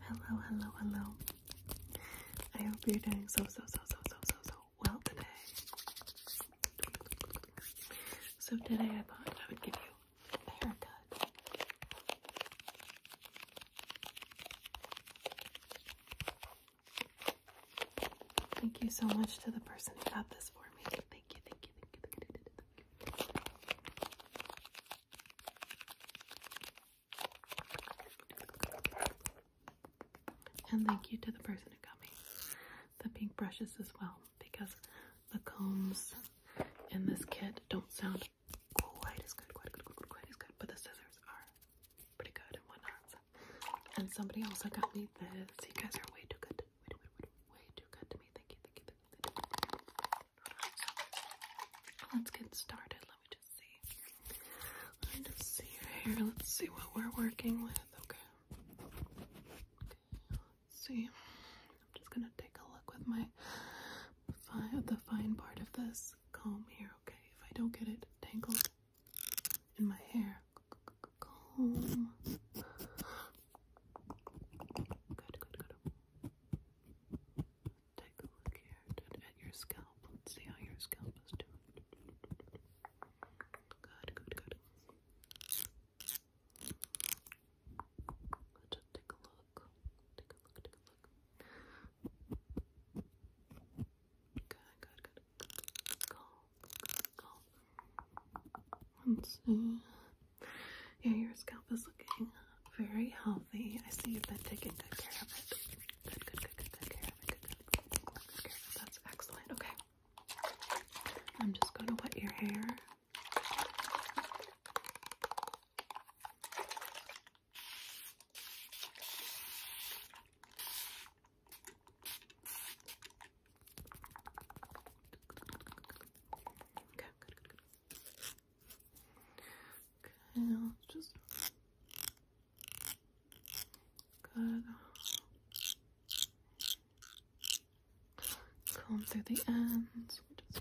Hello, hello, hello. I hope you're doing so, so, so, so, so, so, so well today. So today I thought I would give you a haircut. Thank you so much to the person who got this for me. Thank you, thank you. And thank you to the person who got me the pink brushes as well because the combs in this kit don't sound quite as good, quite, quite, quite, as good, but the scissors are pretty good and whatnot. So. And somebody also got me this. You guys are way too good to way, too good to me. Thank you, thank you, let's get started. Let me just see. Let me just see your hair. Let's see what we're working with. Okay. Okay. Let's see. I'm just gonna take a look with my fi the fine part of this comb here. Okay. If I don't get it tangled, in my hair. Good, good, good. Take a look here at your scalp. see how your scalp is doing. Good, good, good. Let's just take a look. Take a look, take a look. Good, good, good. Yeah, your scalp is looking very healthy. I see you've been taking good care of it. good, good, good, good care of it. Good, good, good, good care of it. That's excellent. Okay. I'm just going to wet your hair. Okay, Okay, just good. Comb through the ends. Just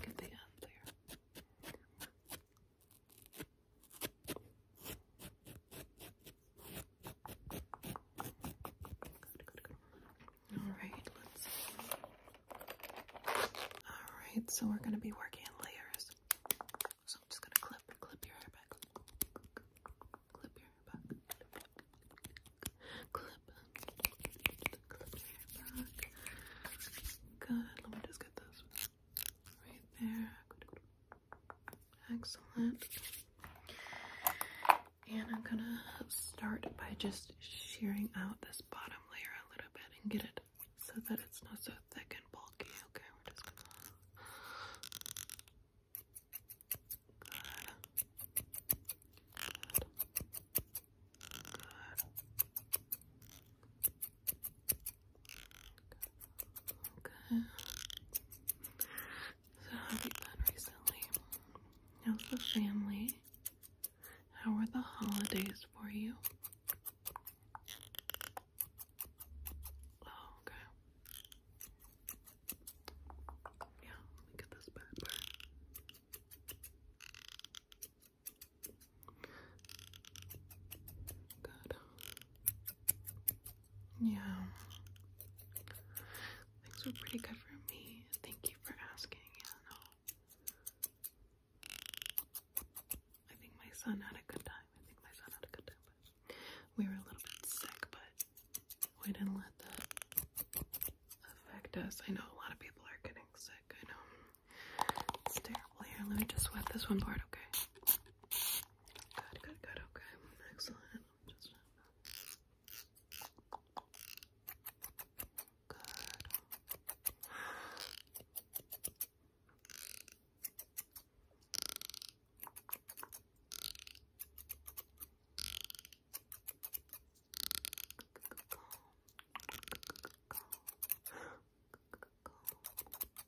get the end there. All right, let's All right, so we're going to be working in layers. So I'm just going to clip, clip your hair back. Clip your hair back. Clip. Clip your hair back. Good. Let me just get this right there. Good. Excellent. And I'm gonna start by just shearing out this bottom layer a little bit and get it so that it's not so thick and bulky. Okay, Okay. So, have you been recently? How's the family? How were the holidays for you? Oh, okay. Yeah, let me get this bad Good. Yeah. Things were pretty good for me. Thank you for asking. Yeah, I think my son had a good time. I think my son had a good time. we were a little bit sick, but we didn't let that affect us. I know a lot of people are getting sick. I know. It's terrible. Here, let me just wet this one part, okay? Good, good, good. Okay, excellent. Just good. Good,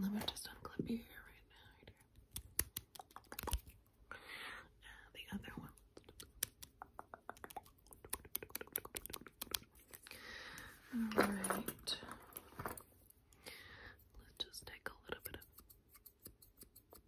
let me just unclip your hair right now, the other one. Alright. Let's just take a little bit of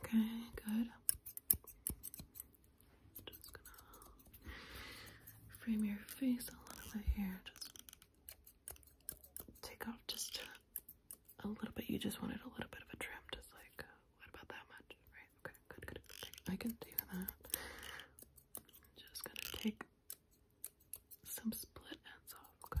Okay, good. Just gonna frame your face a little bit here. Just take off just a little bit. You just wanted a little bit of a trim, just like uh, what about that much? Right? Okay, good, good. I can do that. just gonna take some split ends off. Okay,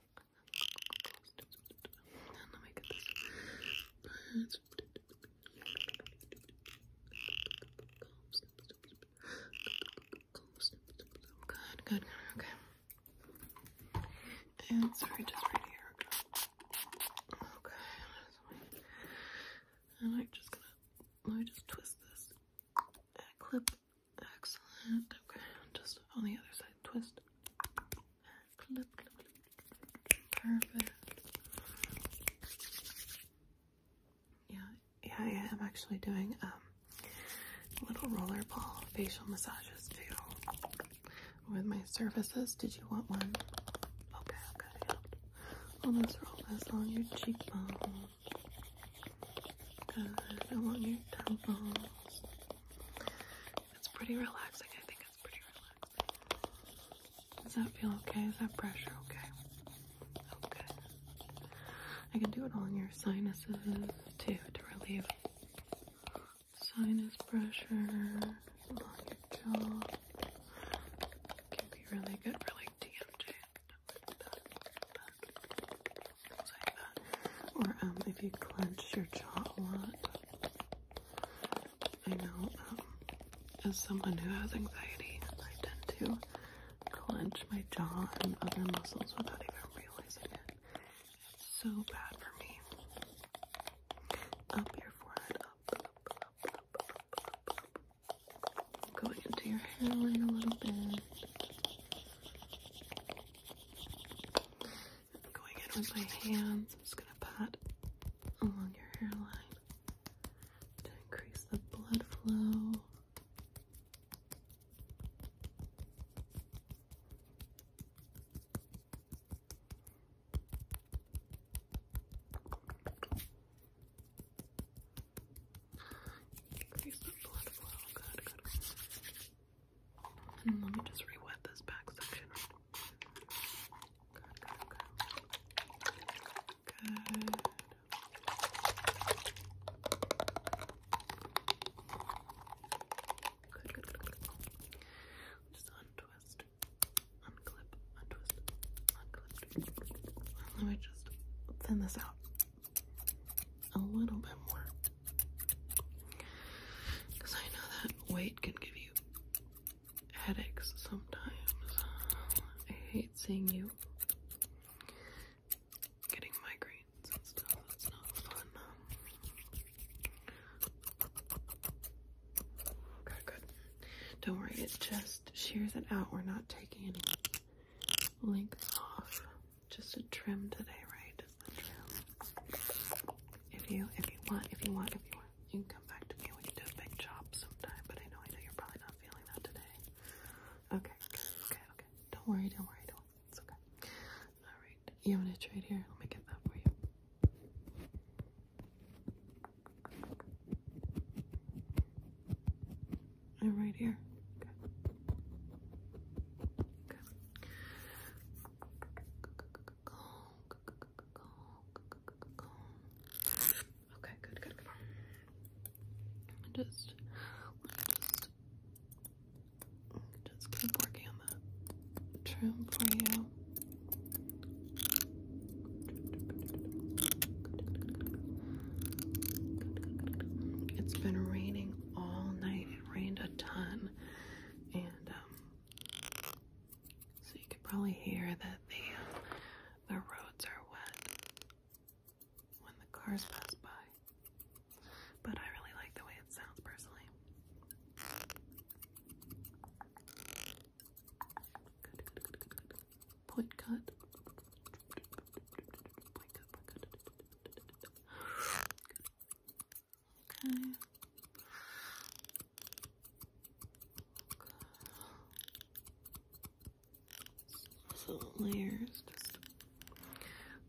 And let Good, good, okay. And sorry, just right here. Okay, and I'm just gonna let me just twist this clip Excellent. Okay, just on the other side, twist. Clip, clip, clip. Perfect. Yeah, yeah, yeah. I'm actually doing um little roller ball facial massages too with my services. Did you want one? Okay, okay. I'll just roll this on your cheekbone. I want your temples. It's pretty relaxing. I think it's pretty relaxing. Does that feel okay? Is that pressure okay? Okay. I can do it on your sinuses too to relieve sinus pressure on your jaw. Can be really good for like DMJ. Back, back, back things like that. Or um, if you clench your jaw a lot. I know, um, as someone who has anxiety, I tend to clench my jaw and other muscles without even realizing it. It's so bad for me. Up your forehead, up, up, up, up, up, up, up. Going into your hairline a little bit. I'm going in with my hands. I'm just going to pat along your hairline to increase the blood flow. Increase the blood flow. good, good. Hmm, let me just re-wet this back section. Good, good, good. Good. Good, Just untwist, unclip, untwist, unclip. Let me just thin this out a little bit more. Because I know that weight can give you headaches sometimes. I hate seeing you getting migraines and stuff. It's not fun. Okay, good. Don't worry, It just shears it out. We're not taking any length off just a trim today, right? Just a trim. If you if you want, if you want, if you want, you can come back to me. We can do a big chop sometime, but I know I know you're probably not feeling that today. Okay, okay, okay. Don't worry, don't worry, don't worry. It's okay. Alright. You want to trade here? Let me get that for you. I'm oh, right here. Okay. good, good, good. just, just, keep working on that trim for you. It's been raining all night. It rained a ton, and um, so you could probably hear that the uh, the roads are wet when the cars pass by. But I really like the way it sounds personally. Point cut. Okay. So layers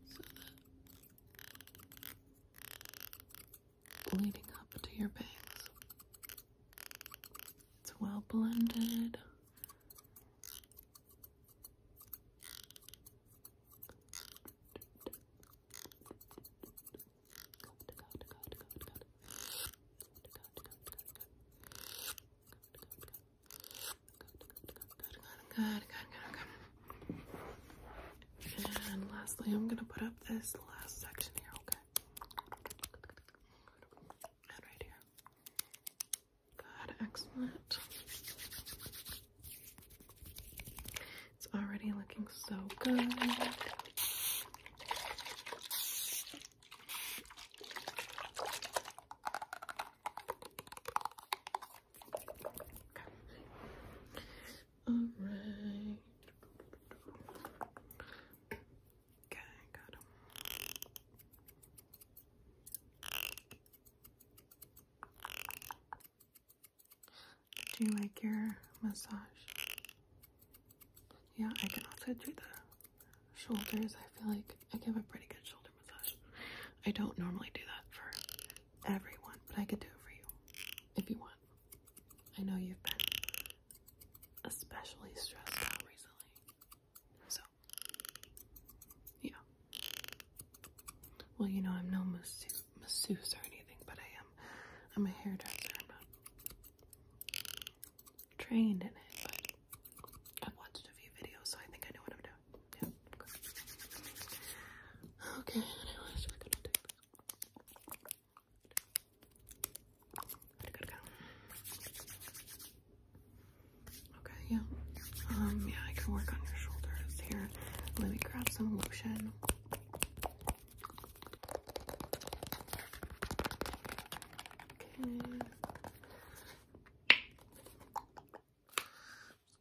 so that leading up to your bangs. It's well blended. And lastly, I'm gonna put up this last section here, okay? And right here. Good, excellent. It's already looking so good. All right. Okay, got him. Do you like your massage? Yeah, I can also do the shoulders. I feel like I give a pretty good shoulder massage. I don't normally do that for everyone, but I could do it for you if you want. I know you've been especially stressed out recently. So yeah. Well, you know, I'm no masseuse, or anything, but I am. I'm a hairdresser. I'm not trained in it, but I've watched a few videos, so I think I know what I'm doing. Yeah. Okay. Okay, yeah. Um, yeah, I can work on your shoulders here. Let me grab some lotion. Okay.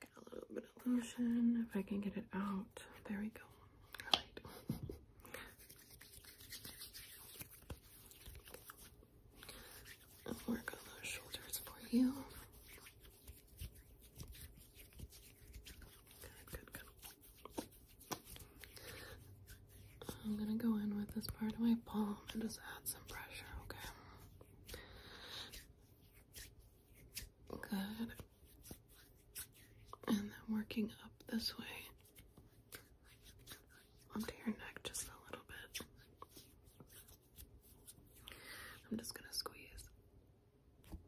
get a little bit of lotion if I can get it out. There we go. I'll work on those shoulders for you. Good, good, good. I'm gonna go in with this part of my palm and just add some pressure, okay? Good. And then working up this way onto your neck just a little bit. I'm just gonna squeeze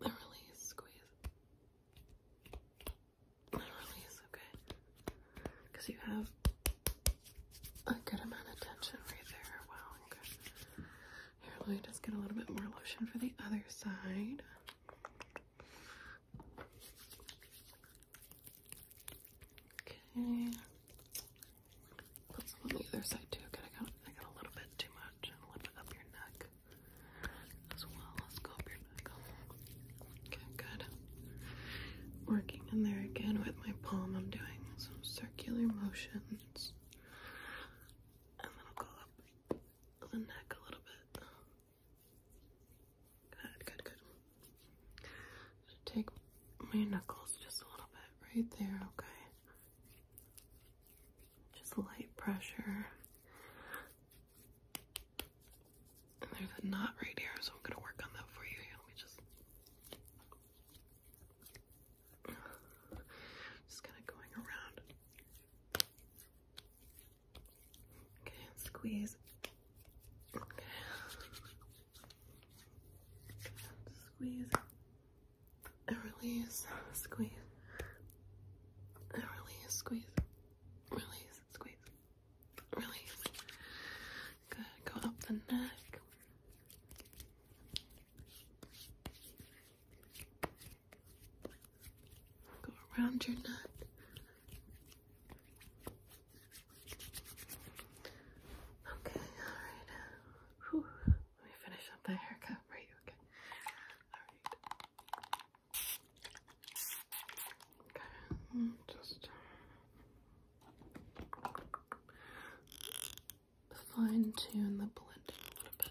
release, squeeze release, okay? Because you have a good amount of tension right there. Wow, Here, let me just get a little bit more lotion for the other side. Okay. Put some on the other side too. Okay, I got I got a little bit too much and a little bit up your neck as well. Let's go up your neck. Okay, good. Working in there again with my palm. I'm doing some circular motions. And then I'll go up the neck a little bit. Good, good, good. take my knuckles just a little bit right there, okay? Just light pressure. And there's a knot right here, so I'm gonna work on that for you. let me just. Just kind of going around. Okay, squeeze. Squeeze and release. Squeeze and release. Squeeze. Release. Squeeze. Release. Good. Go up the neck. Go around your neck. Okay, alright. Let me finish up my haircut for you, okay? Alright. Okay, just uh, fine tune the blending a little bit.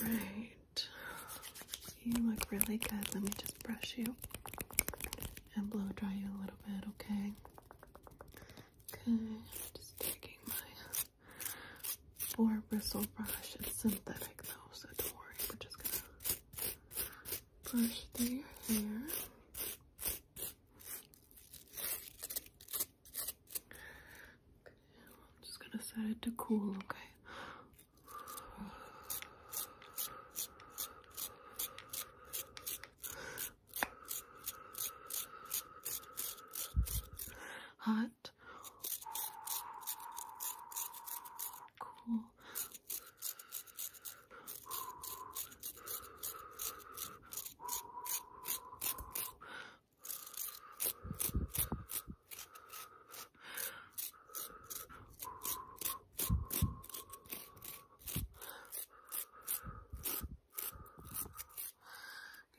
Alright. You look really good. Let me just brush you and blow dry you a little bit, okay? Okay, just taking my four bristle brush. It's synthetic though, so don't worry. We're just gonna brush through your hair. I'm just gonna set it to cool, okay? Hot, cool.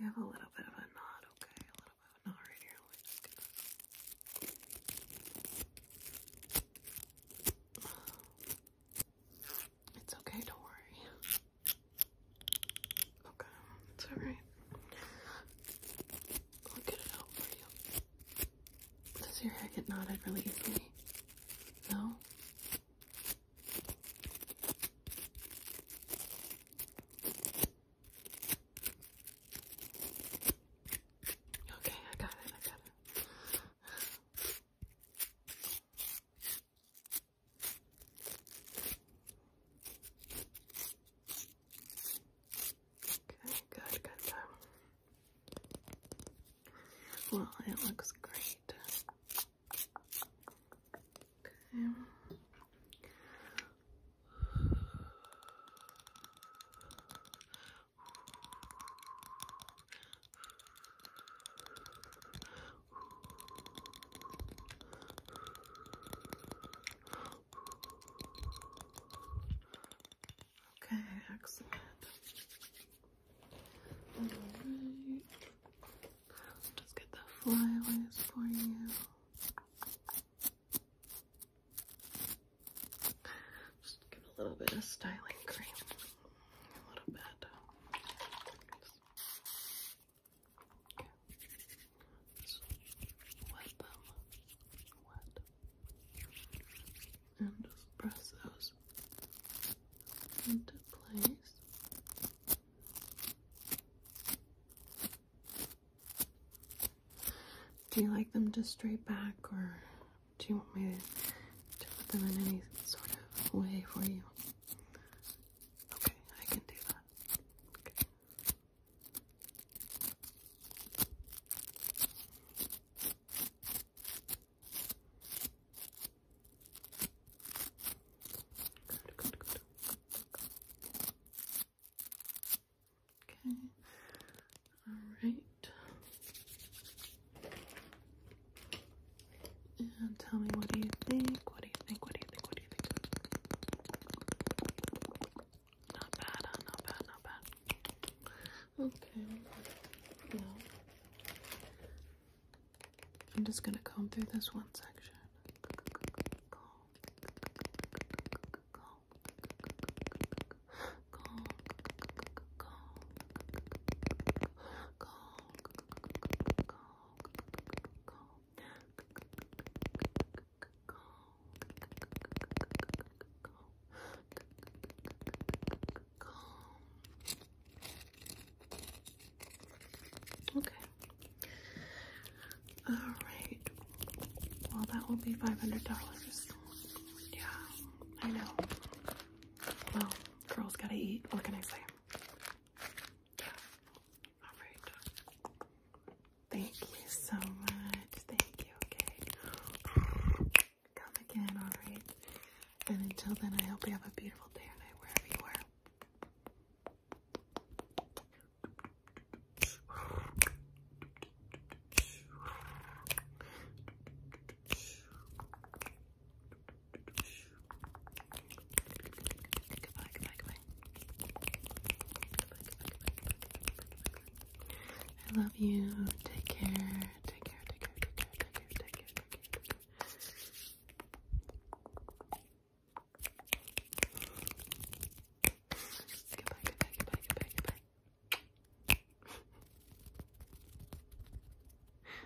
You have a little bit of a knot, okay? A little bit of a knot right here. It's okay, don't worry. Okay, it's alright. I'll get it out for you. Does your hair get knotted really easily? No? Okay, I got it, I got it. Okay, good, good, good. Well, it looks great. Okay. Okay, excellent. All just get the flyaways for you. Just give a little bit of styling cream. A little bit wet them wet and just press those into place. Do you like them just straight back or do you want me to put them in any sort of way for you? Okay, I can do that. Okay. Good, good, good. Okay. All right. And tell me what do you think? What do you think? What do you think? What do you think? Not bad, Not bad, not bad. Okay. Well, I'm just gonna comb through this one section. Comb. Comb. Comb. Comb. Comb. Comb. Okay. All right. Well, that will be five hundred dollars. Yeah, I know. Well, girls gotta eat. What can I say? Thank you so much. Thank you. Okay. Come again. All right. And until then, I hope you have a beautiful day or night wherever you are. I love you. Take care. Take care. Take care. Take care. Take care. Take care. Take care. Goodbye. Goodbye. Goodbye. Goodbye. Goodbye.